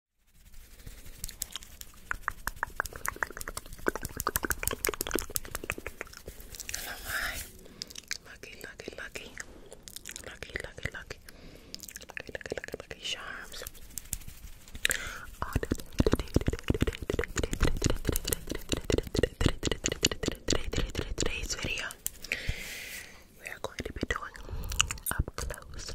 lucky, lucky, lucky, lucky, lucky, lucky, lucky, charms. Today's video, we are going to be doing up close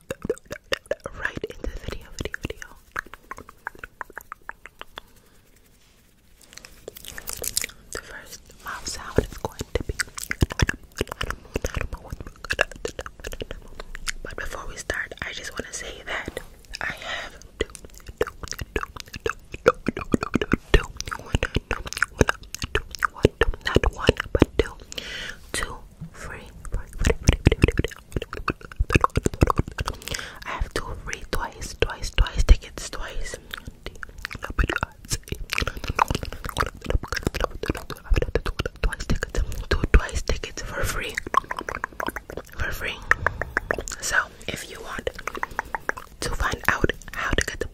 right in the video, video, video. The first mouth sound is going to be But before we start, I just want to say that I have not one, but two, I have two free twice, twice, twice tickets, twice. Twice tickets, two twice tickets for free, for free. So if you want to find out how to get them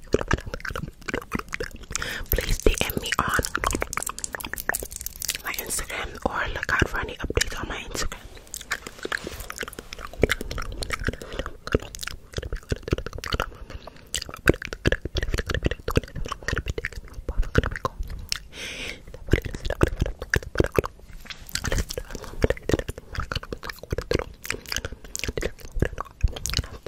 please DM me on my Instagram or look out for any updates on my Instagram.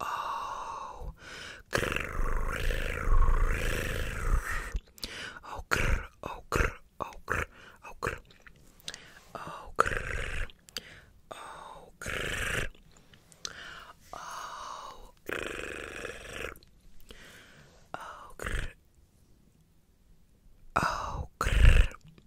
Oh. Oh, grr, oh, grr, oh, grr, oh, grr. Oh, grr. Oh, grr. Oh, grr. Oh, grr. Oh, grr.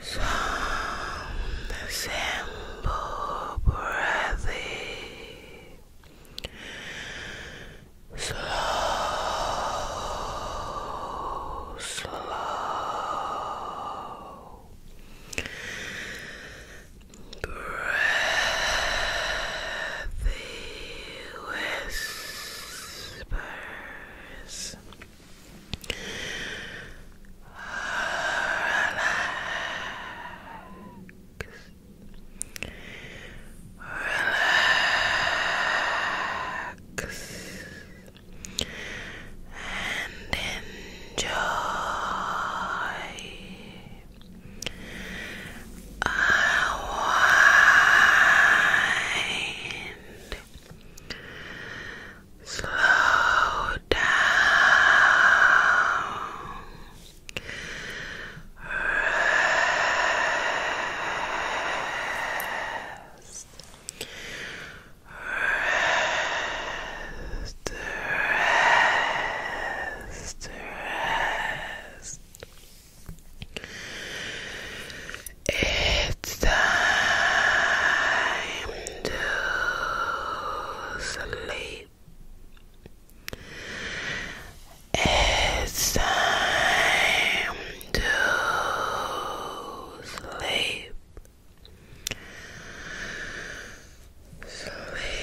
Sound simple breathing. Slow, slow. Breathy, whispers relax relax and enjoy a Slow down. Rest. Rest. Rest. Rest. It's time to sleep. It's time to sleep. Sleep.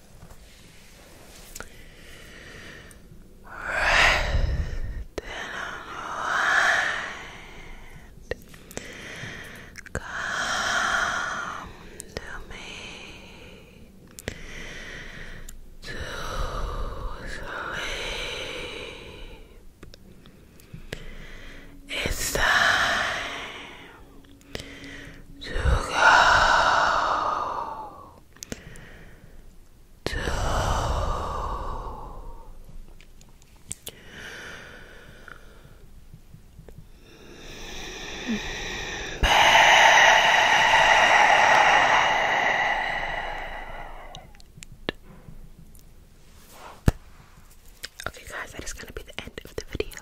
Wrapped in a come to me to sleep. It's time to go to Okay, guys, that is going to be the end of the video